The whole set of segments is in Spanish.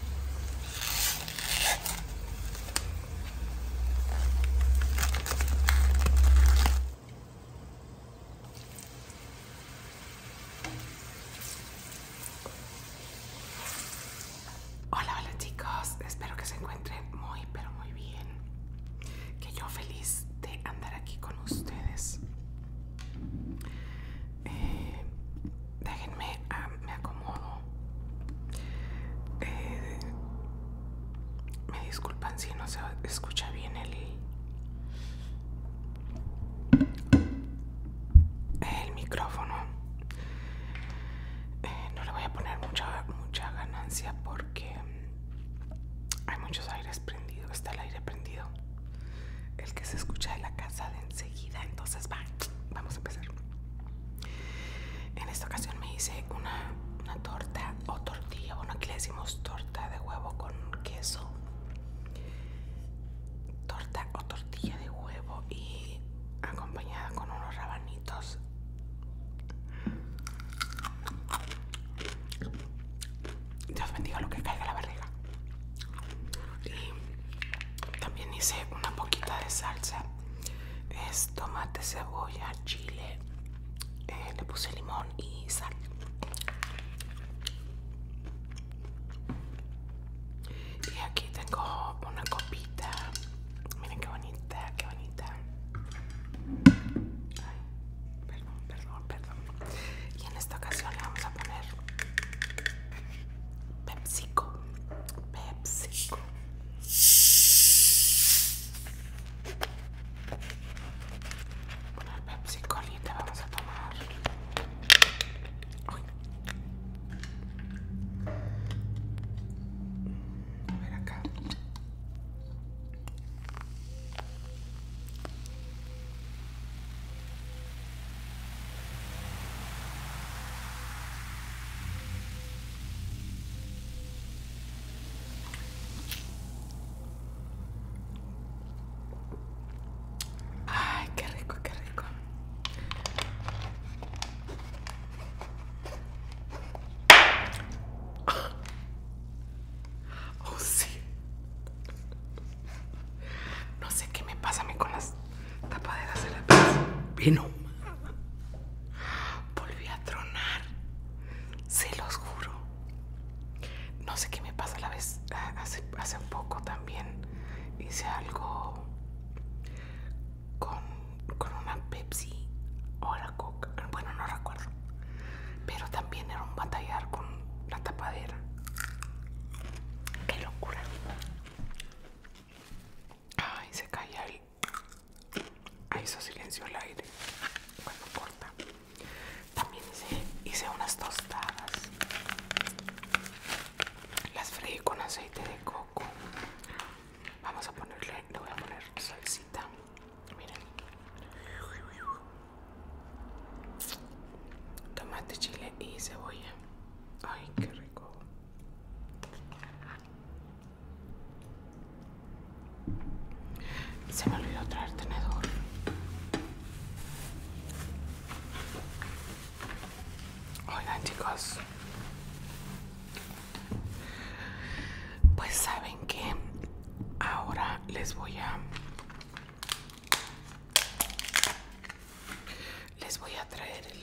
Hola, hola chicos, espero que se encuentren muy pero muy bien. Que yo feliz de andar aquí con ustedes. Eh, déjenme, ah, me acomodo. Eh, me disculpan si no se escucha bien el, el micrófono. Eh, no le voy a poner mucha, mucha ganancia porque hay muchos aires prendidos. Está el aire prendido. El que se escucha de la casa enseguida. Entonces, va, vamos a empezar. En esta ocasión me hice una, torta o tortilla. Bueno, aquí le decimos torta de huevo con queso. Torta o tortilla de huevo y acompañada con unos rabanitos. Dios bendiga lo que caiga la barriga y también hice una poquita de salsa es tomate cebolla chile eh, le puse limón y sal y aquí tengo una copita miren qué bonita qué bonita Ay, perdón perdón perdón y en esta ocasión le vamos a poner pepsico Pepsi. Una Pepsi PepsiCo te vamos a tomar. Uy. A ver acá. Ay, qué rico, qué rico. Oh, sí. No sé qué me pasa con las tapaderas de la pieza. Vino. Volví a tronar. Se los juro. No sé qué me pasa a la vez. Hace, hace poco también hice algo con, con una Pepsi o la Coca. Bueno, no recuerdo. Pero también era un batallar con la tapadera. Qué locura. Ay, se cae el... Ahí hizo silencio el aire cuando corta. También hice, hice unas tostadas. Las freí con aceite de coco. Vamos a ponerle, le voy a poner salsita. Miren. Tomate, chile y cebolla. Ay, qué rico. Se me olvidó traer tenedor. Oigan, chicos. Pues saben que ahora les voy a les voy a traer el,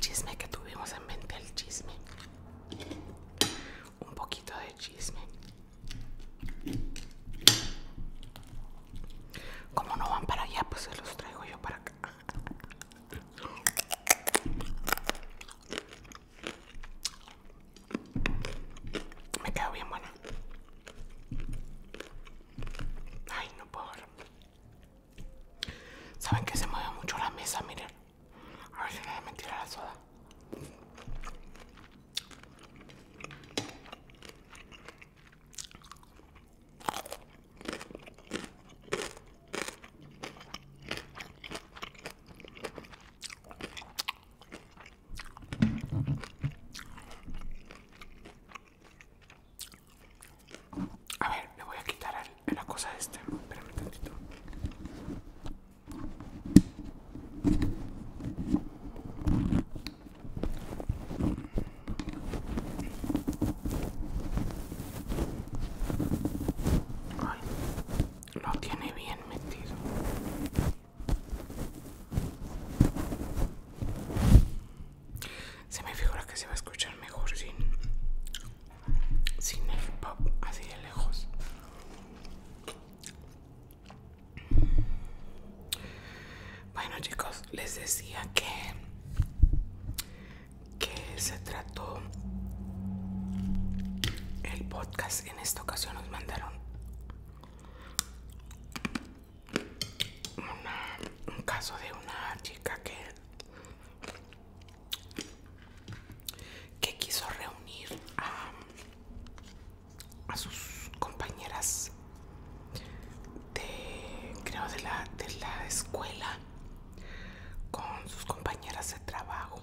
chisme que tuvimos en mente, el chisme. Un poquito de chisme. Como no van para allá, pues se los traigo yo para acá. Me quedo bien buena. Ay, no puedo ver. Saben que se mueve mucho la mesa, miren. A ver si no me a la soda. A ver, me voy a quitar la cosa este. Espérame tantito. Ay, lo tiene bien metido. Se me figura que se va a escuchar mejor sin, sin el pop así de lejos. Bueno chicos, les decía que, que se trató el podcast. En esta ocasión nos mandaron un caso de una chica que quiso reunir a, sus compañeras de creo de la escuela con sus compañeras de trabajo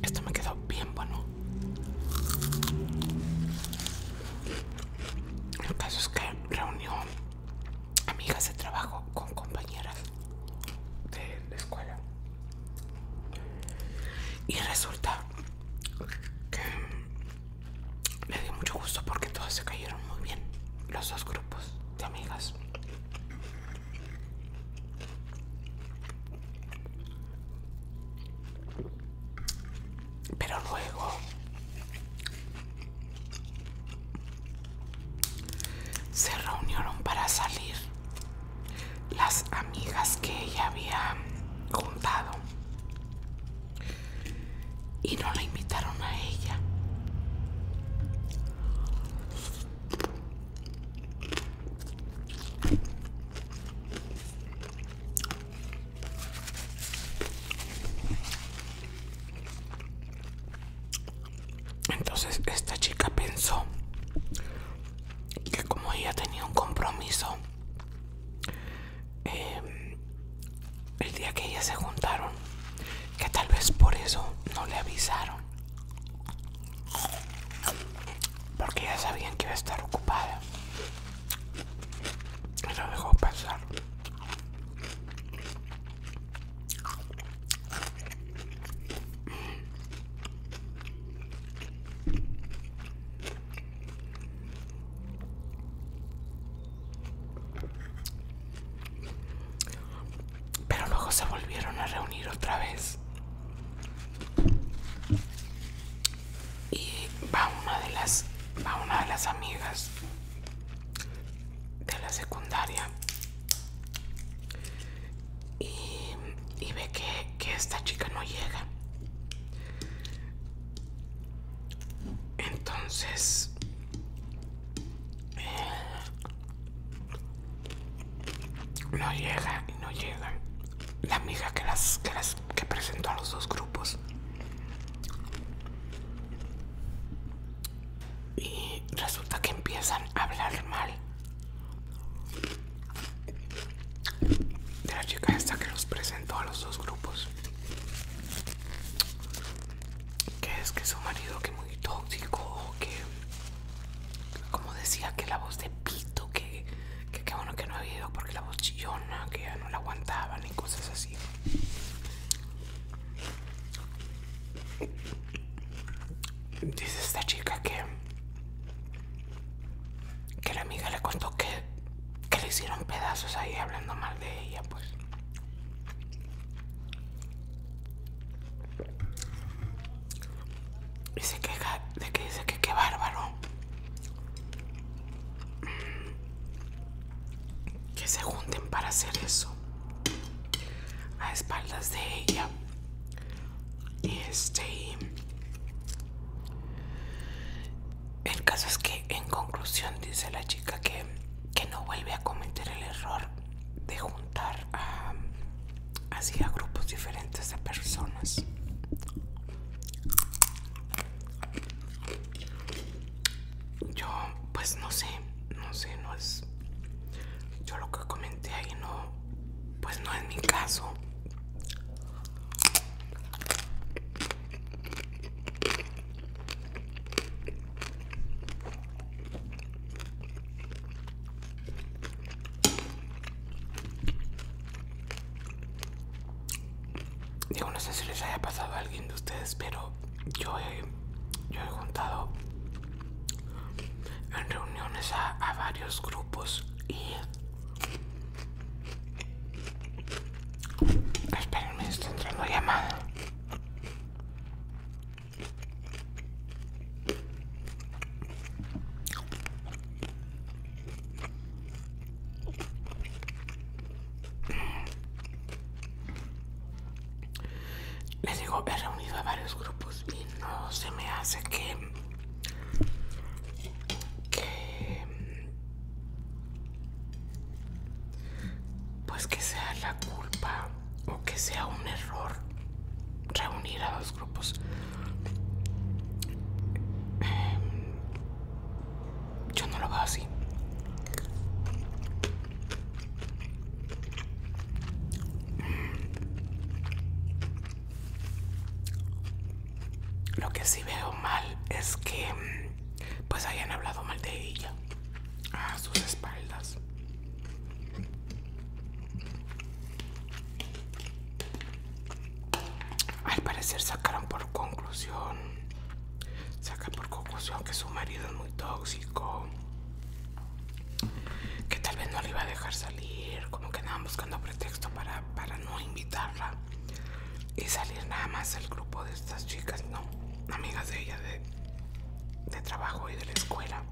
esto me quedó bien bueno. El caso es que reunió amigas de trabajo con compañeras de la escuela. Y resulta que me dio mucho gusto porque todas se cayeron muy bien, los dos grupos de amigas. Pero luego se reunieron para salir las amigas que ella había juntado y no la invitaron a ella. Entonces esta chica pensó que como ella tenía un compromiso, em, el día que ella se juntaron, que tal vez por eso no le avisaron. Porque ya sabían que iba a estar ocupada lo dejó pasar pero luego se volvieron a reunir otra vez y va una de las va una de las amigas de la secundaria y, ve que, esta chica no llega entonces eh, no llega y no llega la amiga que las que las que presentó a los dos grupos y resulta que empiezan a hablar mal de la chica esta que los presentó a los dos grupos. Que es que su marido que muy tóxico, que como decía que la voz de pito, que que qué bueno que no ha habido porque la voz que ya no la aguantaba y cosas así. Dice esta chica que que la amiga le contó que, que le hicieron pedazos ahí hablando mal de ella, pues. Y se queja de que dice que qué bárbaro que se junten para hacer eso a espaldas de ella y este el caso es que en conclusión dice la chica que, que no vuelve a cometer el error de juntar así a grupos diferentes de personas yo, pues no sé, no sé, no es. Yo lo que comenté ahí no, pues no es mi caso. Digo, no sé si les haya pasado a alguien de ustedes, pero yo he, yo he juntado en reuniones a, varios grupos y... Espérenme, está entrando llamada. Les digo, he reunido a varios grupos y no se me hace que... que pues que sea la culpa o que sea un error reunir a dos grupos. Em, yo no lo veo así. Lo que sí veo mal es que pues hayan hablado mal de ella a sus espaldas. Al parecer sacaron por conclusión, saca por conclusión que su marido es muy tóxico, que tal vez no le iba a dejar salir, como que andaban buscando pretexto para, no invitarla y salir nada más al grupo de estas chicas, no, amigas de ella de, de trabajo y de la escuela.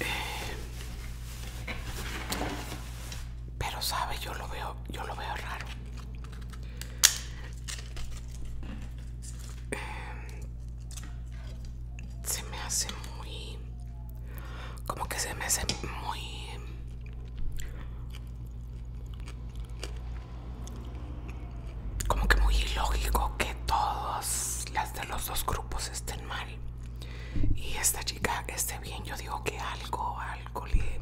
Eh, pero sabe, yo lo veo, yo lo veo raro. Eh, se me hace muy, como que se me hace muy como que muy ilógico que todas las de los dos grupos estén mal. Y esta chica esté bien, yo digo que algo, algo le.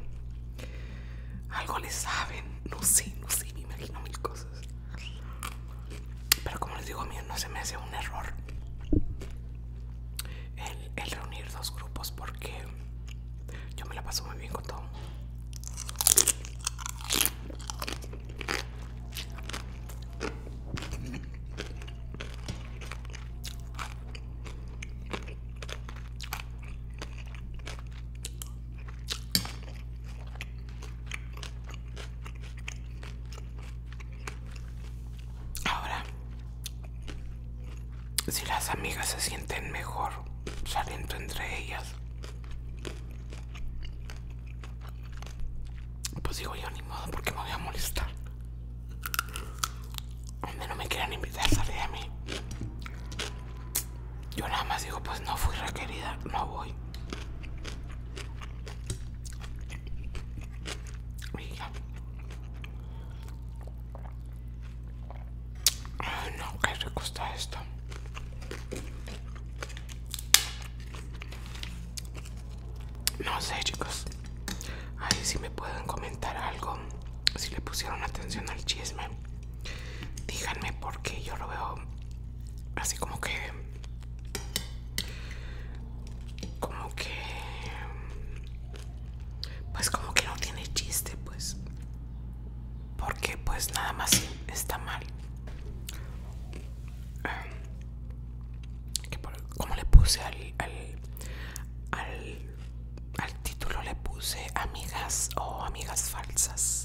Algo le saben. No sé, no sé, me imagino mil cosas. Pero como les digo, a mí no se me hace un error el, el reunir dos grupos porque yo me la paso muy bien con todo. Ahora, si las amigas se sienten mejor saliendo entre ellas, pues digo yo, ni modo, porque me voy a molestar. Donde no me quieran invitar, salir a mí. Yo nada más digo, pues no fui requerida, no voy. Ay, no, qué rico está esto. No sé, chicos. Ahí si me pueden comentar algo. Si le pusieron atención al chisme. Díganme porque yo lo veo así como que... Como que... Pues como que no tiene chiste, pues. Porque pues nada más está mal. ¿Cómo como le puse al, al, título le puse amigas o amigas falsas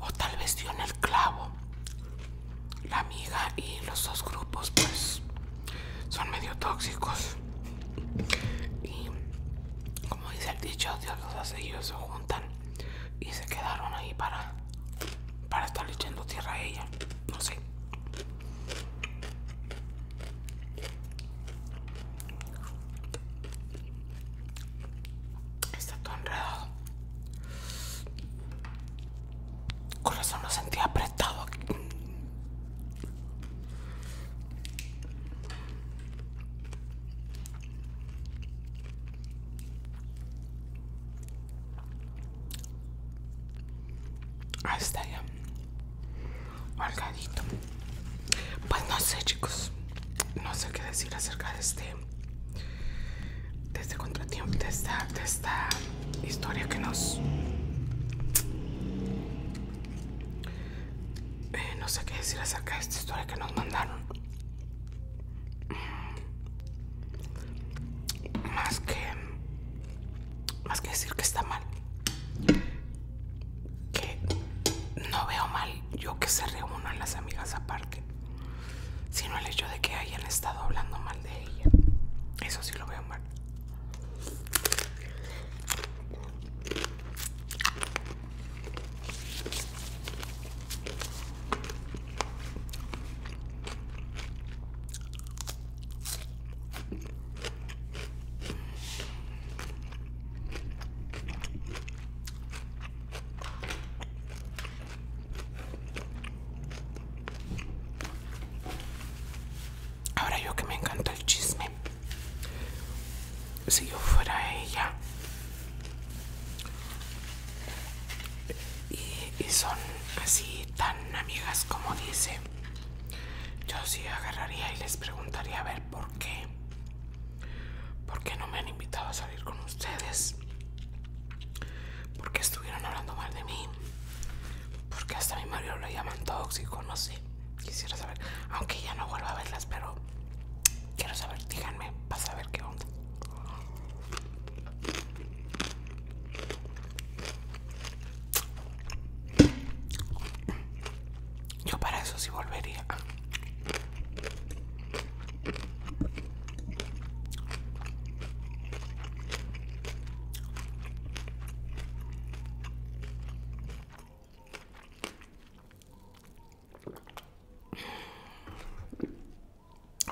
o tal vez dio en el clavo la amiga y los dos grupos pues son medio tóxicos y como dice el dicho Dios los ellos se juntan y se quedaron ahí para para estar echando tierra a ella no sé Está todo enredado. Corazón lo sentía apretado Ahí está ya. Pues no sé, chicos. No sé qué decir acerca de este de este contratiempo, de esta, historia que nos... Eh, no sé qué decir acerca de esta historia que nos mandaron. Más que... Más que decir que está mal. Que no veo mal yo que se reúnan las amigas aparte sino el hecho de que hayan estado hablando mal de ella. Eso sí lo veo mal. Ahora yo que me encanta el chisme. Si yo fuera ella. Y, son así tan amigas como dice. Yo sí agarraría y les preguntaría a ver por qué. ¿Por qué no me han invitado a salir con ustedes? ¿Por qué estuvieron hablando mal de mí? ¿Por qué hasta mi marido lo llaman tóxico, no sé. Quisiera saber, aunque ya no vuelva a verlas, pero quiero saber, díganme, para saber qué onda. Yo para eso sí volvería.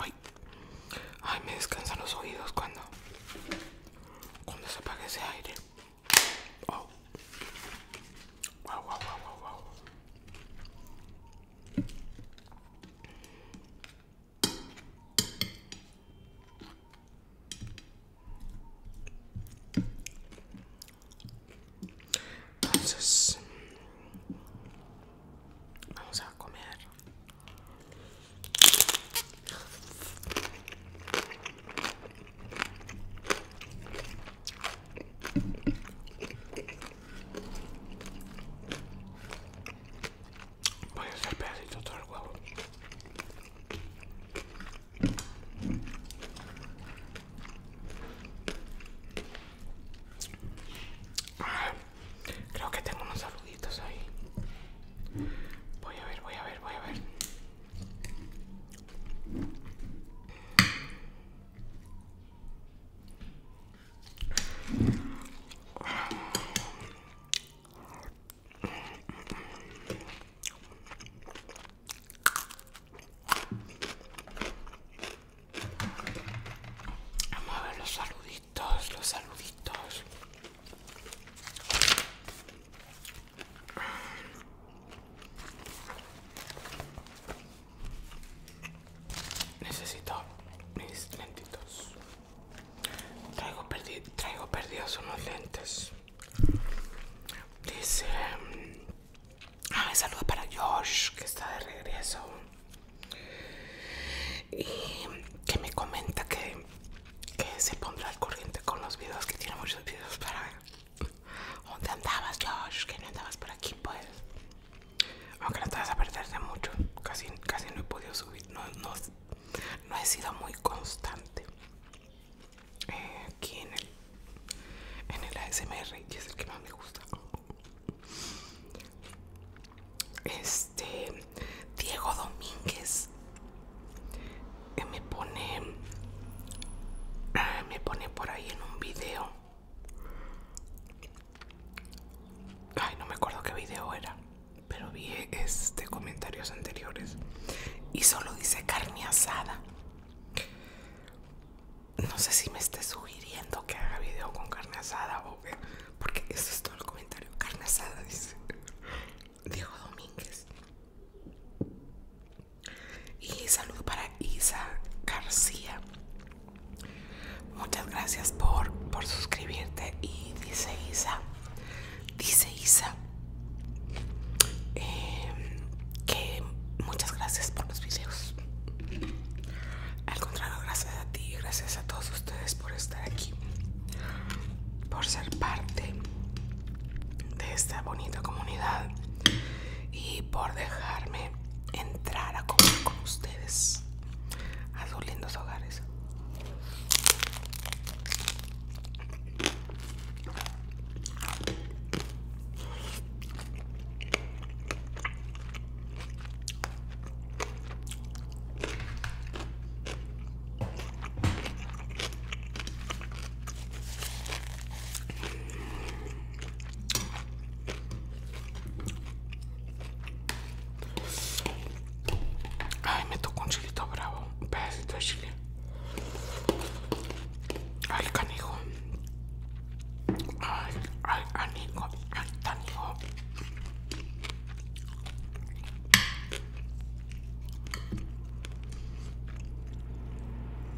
Ay, ay, me descansan los oídos cuando, cuando se apague ese aire. wow, wow, wow, wow. Entonces, vamos a comer. Voy a hacer pedacitos todo el huevo. Ah, creo que tengo unos saluditos ahí. Voy a ver, voy a ver, voy a ver. Vamos a ver los saluditos, los saluditos. Necesito mis lentitos. Traigo, perdidos unos lentes. Dice... Mm, ah, saludos para Josh, que está de regreso. Y que me comenta que, que se pondrá al corriente con los videos, que tiene muchos videos para ver. ¿Dónde andabas, Josh? Que no andabas por aquí, pues. Aunque no te vas a perder de mucho. Casi, casi no he podido subir. No, he sido muy constante. Eh, aquí en el, en el ASMR, que es el que más me gusta. Este Diego Domínguez eh, me pone eh, me pone por ahí en un video Ay, no me acuerdo qué video era, pero vi este comentarios anteriores y solo dice carne asada. No sé si me esté sugiriendo que haga video con carne asada o porque eso es todo el comentario. Carne asada dice Dijo Domínguez. Y saludo para Isa García. Muchas gracias por, suscribirte. Y dice Isa, dice Isa, em, que muchas gracias por los videos. Al contrario, gracias a ti, gracias a todos ustedes por estar aquí, por ser parte de esta bonita comunidad y por dejarme entrar a comer con ustedes a sus lindos hogares. Ay, me tocó un chilito bravo, un pedacito de chile. Ay, canijo. Ay, ay, ay,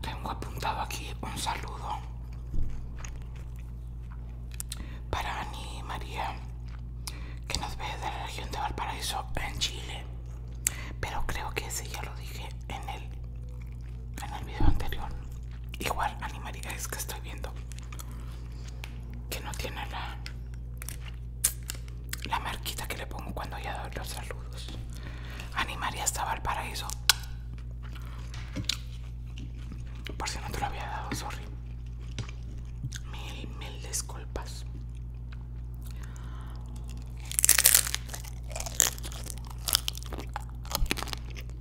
tengo apuntado aquí un saludo para Ani María, que nos ve de la región de Valparaíso, en Chile. Pero creo que ese ya lo dije en el, en el video anterior. Igual, Ani María, es que estoy viendo que no tiene la la marquita que le pongo cuando ya doy los saludos animaría hasta eso. por si no te lo había dado sorry mil mil disculpas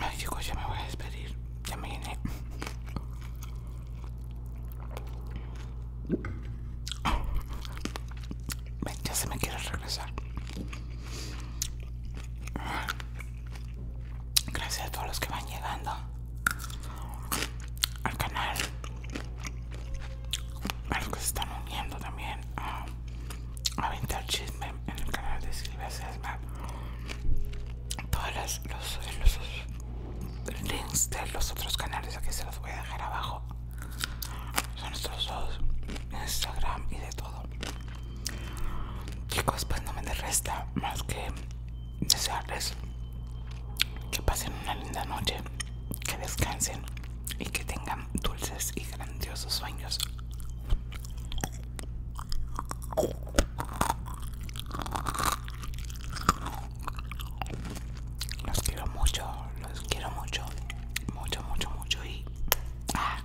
Ay chicos, ya me voy a despedir. Ya me llené. ya se me quiere regresar. Gracias a todos los que van llegando al canal. A los que se están uniendo también. Ah aventar chisme en el canal de Silvia Sesma. Todos los, links de los otros canales aquí se los voy a dejar abajo. Son nuestros dos, Instagram y de todo. Chicos, pues no me resta más que desearles que pasen una linda noche, que descansen y que tengan dulces y grandiosos sueños. Los quiero mucho, los quiero mucho, mucho, mucho, mucho y... Ah,